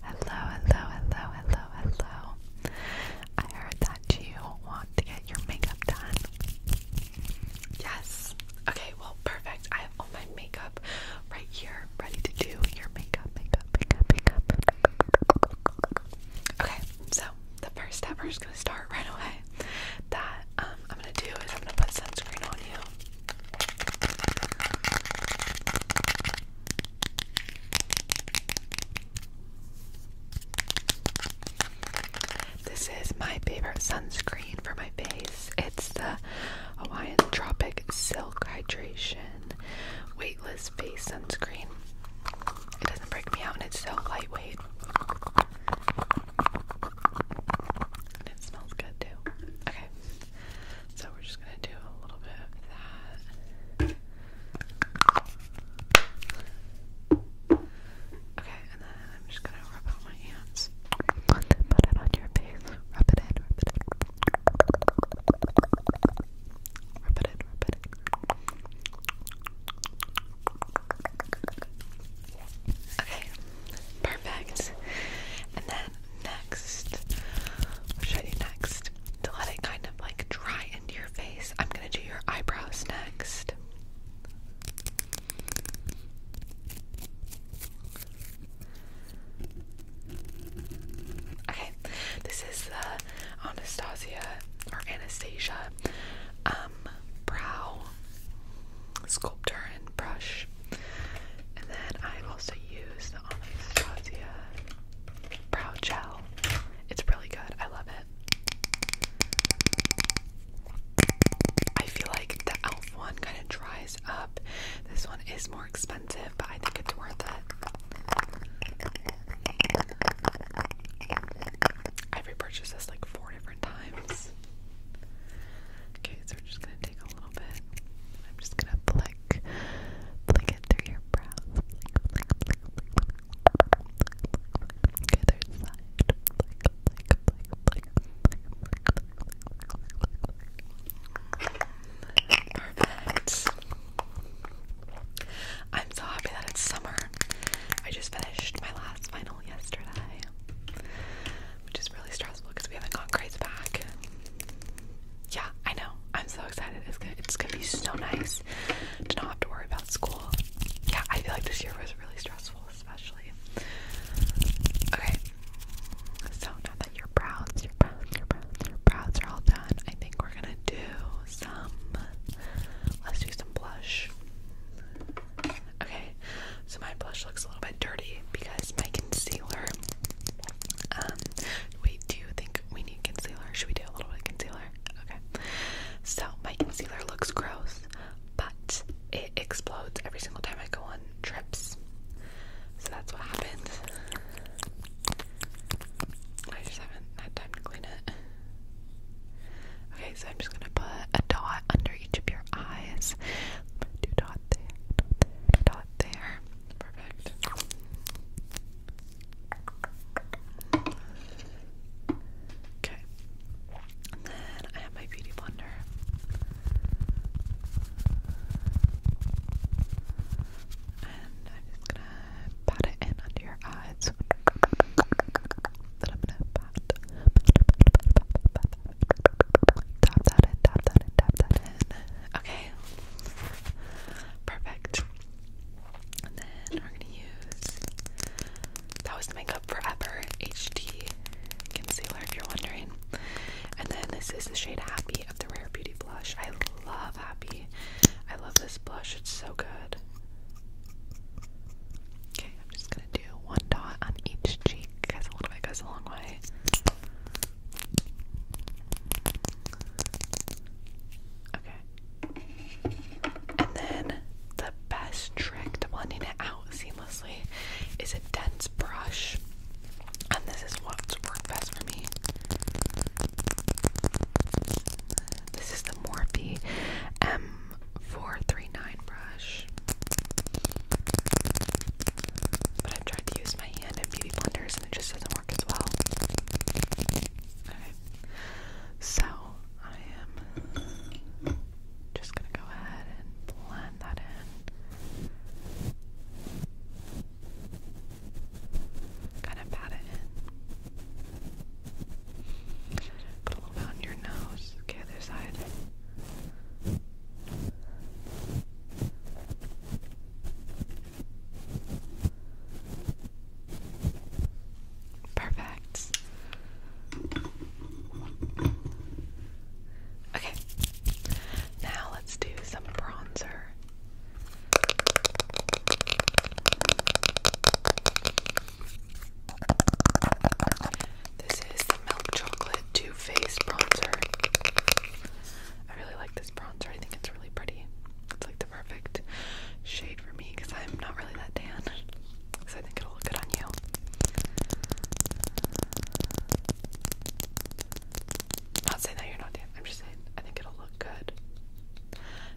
Hello, hello, hello, hello, hello. I heard that you want to get your makeup done. Yes. Okay, well, perfect. I have all my makeup right here, ready to do your makeup, makeup, makeup, makeup. Okay, so the first step we're just gonna start right away. That um, I'm gonna do is I'm gonna put sunscreen on you. This is my favorite sunscreen for my face. It's the Hawaiian Tropic Silk Hydration Weightless Face Sunscreen. It doesn't break me out and it's so lightweight. And it smells good too. Okay. So we're just gonna do a little bit of that. Okay, and then I'm just gonna rub out my hands. Put it on your face. Rub it in, rub it in. Rub it in, rub it in. Okay, perfect. And then next. What should I do next? To let it kind of like dry into your face, I'm gonna do your eyebrows next. Okay, this is the Anastasia or Anastasia um, brow sculptor and brush. And then i also use the Anastasia Brow Gel. It's really good. I love it. I feel like the e.l.f. one kind of dries up. This one is more expensive, but I think it's worth it. i repurchased this like four different times. Okay, so we're just gonna take a little bit. I'm just gonna flick, flick it through your brow. Okay, there's side. I'm so happy that it's summer. I just finished my last final yesterday, which is really stressful because we haven't gotten Grace back. Yeah, I know. I'm so excited. It's gonna, be so nice to not have to worry about school. Yeah, I feel like this year was really stressful, especially. Okay, so now that your brows, your brows, your brows are all done, I think we're gonna do some. Let's do some blush. Okay, so my blush looks a little bit dirty because my concealer um, wait, do you think we need concealer? Should we do a little bit of concealer? Okay. So my concealer looks gross, but it explodes every single time I go on trips. So that's what happened. I just haven't had time to clean it. Okay, so I'm just gonna put a dot under each of your eyes. Do dot there. Perfect. Okay. then I have my beauty blender. And I'm just gonna pat it in under your eyes. Then I'm gonna pat, Tap that in, tap that in, tap that in. Okay. Perfect. And then we're gonna use that was the Makeup Forever HD concealer if you're wondering. And then this is the shade Happy of the Rare Beauty blush. I love Happy. I love this blush. It's so good. Okay, I'm just gonna do one dot on each cheek because a little bit goes a long way. Okay. And then the best trick to blending it out seamlessly is a dense brush. And this is what's worked best for me. This is the Morphe M439 brush. But I've tried to use my hand in beauty blenders and it just doesn't work as well. Okay. So I am just gonna go ahead and blend that in. Kind of pat it in. Put a little bit on your nose. Okay, other side. Perfect. Okay, now let's do some bronzer. This is the Milk Chocolate Too Faced Bronzer. I really like this bronzer. I think it's really pretty. It's like the perfect shade for me because I'm not really that tan. So I think it'll look good on you. am not saying that you're not tan. I'm just saying I think it'll look good.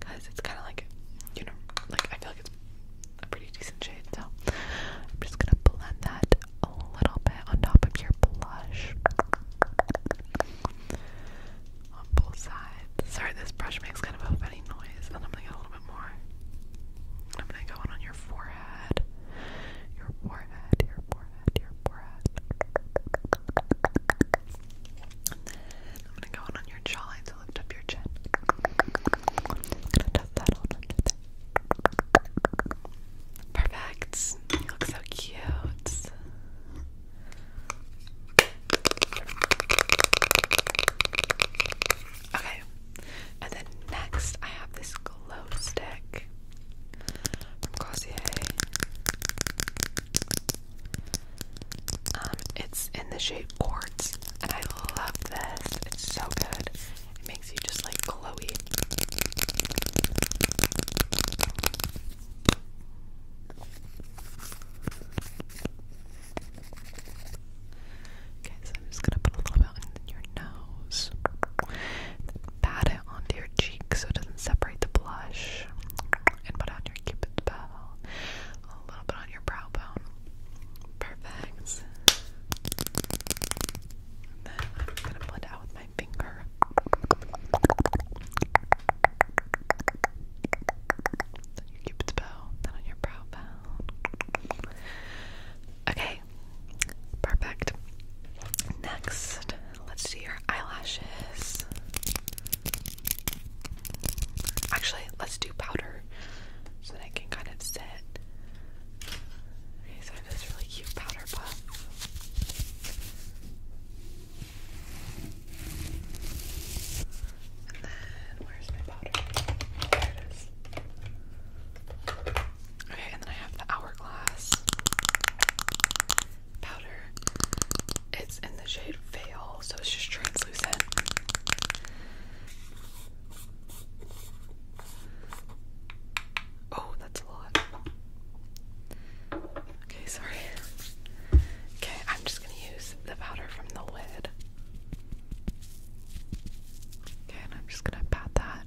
Because it's kind of like, you know, like I feel like it's a pretty decent shade. So I'm just going to blend that a little bit on top of your blush on both sides. Sorry, this brush makes kind of a funny noise, and I'm gonna get a little bit more. I'm gonna go in on your forehead, your forehead, your forehead, your forehead. I'm gonna go in on your jawline, so lift up your chin. i that on under there. Perfect. You look so cute. Okay. And then next I have this glow stick from Glossier. Um, it's in the shape quartz, and I love this. It's so good. It makes you just like Chloe. Okay, so I'm just gonna put a little bit in your nose. Pat it onto your cheek so it doesn't separate the blush. And put on your cupid's bow. A little bit on your brow bone. Perfect then I'm gonna blend out with my finger. Then your cupid's bow, then on your brow bone. Okay, perfect. Next, let's do your eyelashes. Actually, let's do powder so that I can kind of set these are this really cute powder puff. And then where's my powder? There it is. Okay, and then I have the hourglass powder. It's in the shade fail, so it's just translucent. Oh, that's a lot. Okay, sorry. Okay, I'm just gonna use the powder from the lid. Okay, and I'm just gonna pat that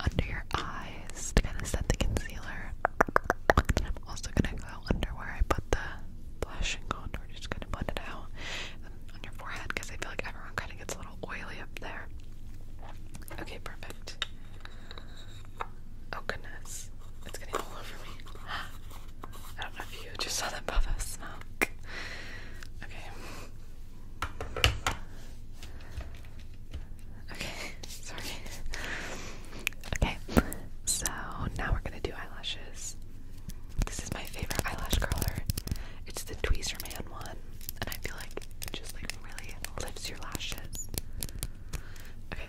under your eyes to kind of set the concealer. I'm also gonna go under where I put the blush and contour, just gonna blend it out on your forehead because I feel like everyone kind of gets a little oily up there. Okay, perfect. Oh goodness, I don't know if you just saw that puff Okay. Okay, Okay, so now we're gonna do eyelashes. This is my favorite eyelash curler. It's the Tweezer Man one, and I feel like it just like really lifts your lashes. Okay,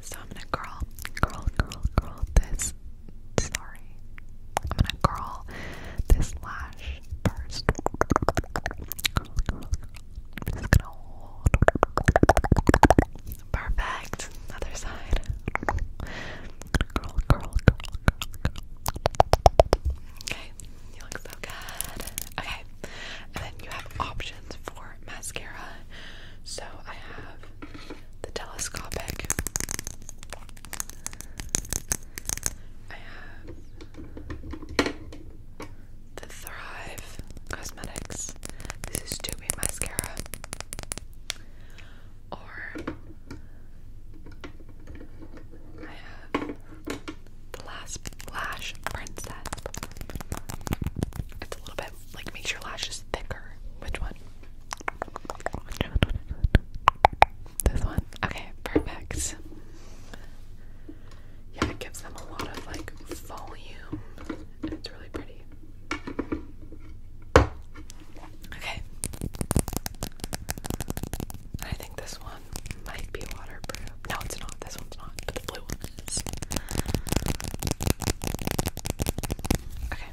so I'm gonna curl, curl, curl, curl this. Sorry, I'm gonna curl this lash first. just gonna hold. Perfect. Other side. Okay, you look so good. Okay, and then you have options for mascara. So I have the telescopic. I have the Thrive Cosmetics. This is Tubing Mascara or I have the last lash princess. It's a little bit like makes your lashes thicker. Which one? This one? Okay, perfect. Yeah, it gives them a lot of like volume. It's really pretty. Okay. I think this one might be waterproof. No, it's not. This one's not. But the blue one is. Okay. Okay.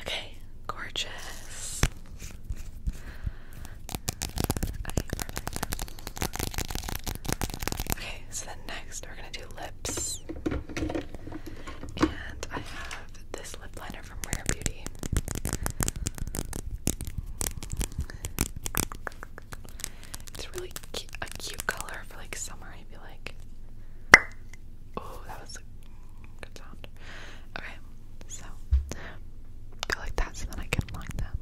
Okay, gorgeous. Okay, so then next we're gonna do lips. And I have this lip liner from Rare Beauty. It's really a cute color for like summer, I feel like. Oh, that was Good sound. Okay, so go like that so then I can line them.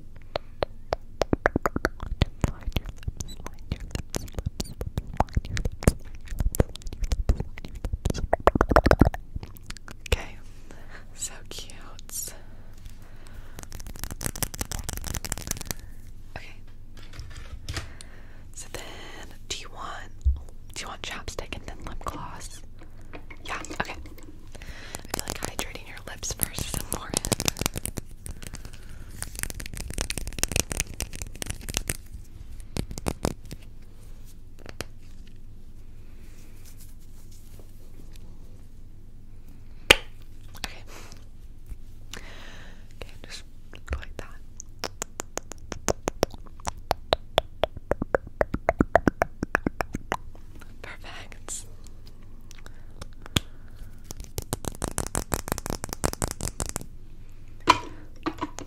Okay, so cute. Okay. So then, do you want do you want chapstick and then lip gloss? Yeah, okay. I feel like hydrating your lips first is important. Okay. Okay, just like that. Perfect.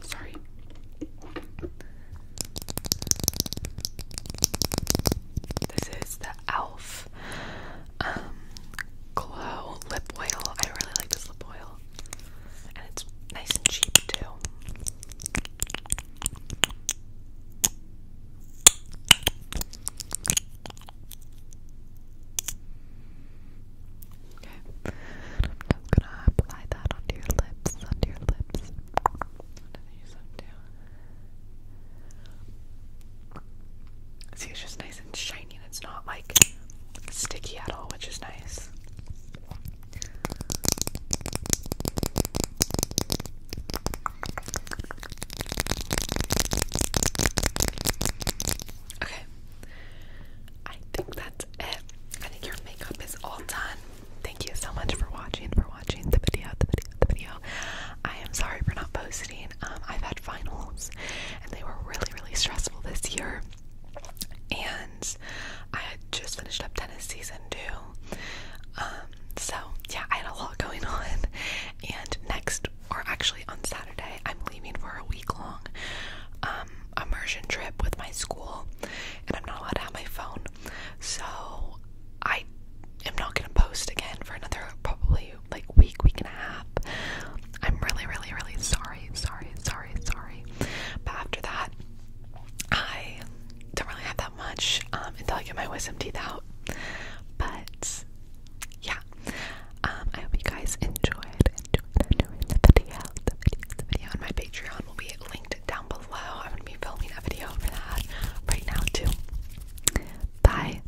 Sorry. This is the e.l.f. Um, glow Lip Oil. I really like this lip oil. And it's nice and cheap too. Okay. I'm just gonna apply that onto your lips, onto your lips. Use them too. See, it's just nice and shiny opinion. It's not like sticky at all, which is nice. Okay, I think that's it. I think your makeup is all done. Thank you so much for watching, for watching the video, the video, the video. I am sorry for not posting. Um, I've had finals, and they were really, really stressful this year and I had just finished up tennis season two. Um, so yeah, I had a lot going on. And next, or actually on Saturday, I'm leaving for a week long um, immersion trip with my school, and I'm not allowed to have my phone. So I am not gonna post again for another probably like week, week and a half. I'm really, really, really sorry, sorry, sorry, sorry. But after that, I don't really have that much um, until I get my wisdom teeth out. But yeah, um, I hope you guys enjoy enjoyed, enjoyed the video, the video, on my Patreon will be linked down below. I'm gonna be filming a video for that right now too. Bye.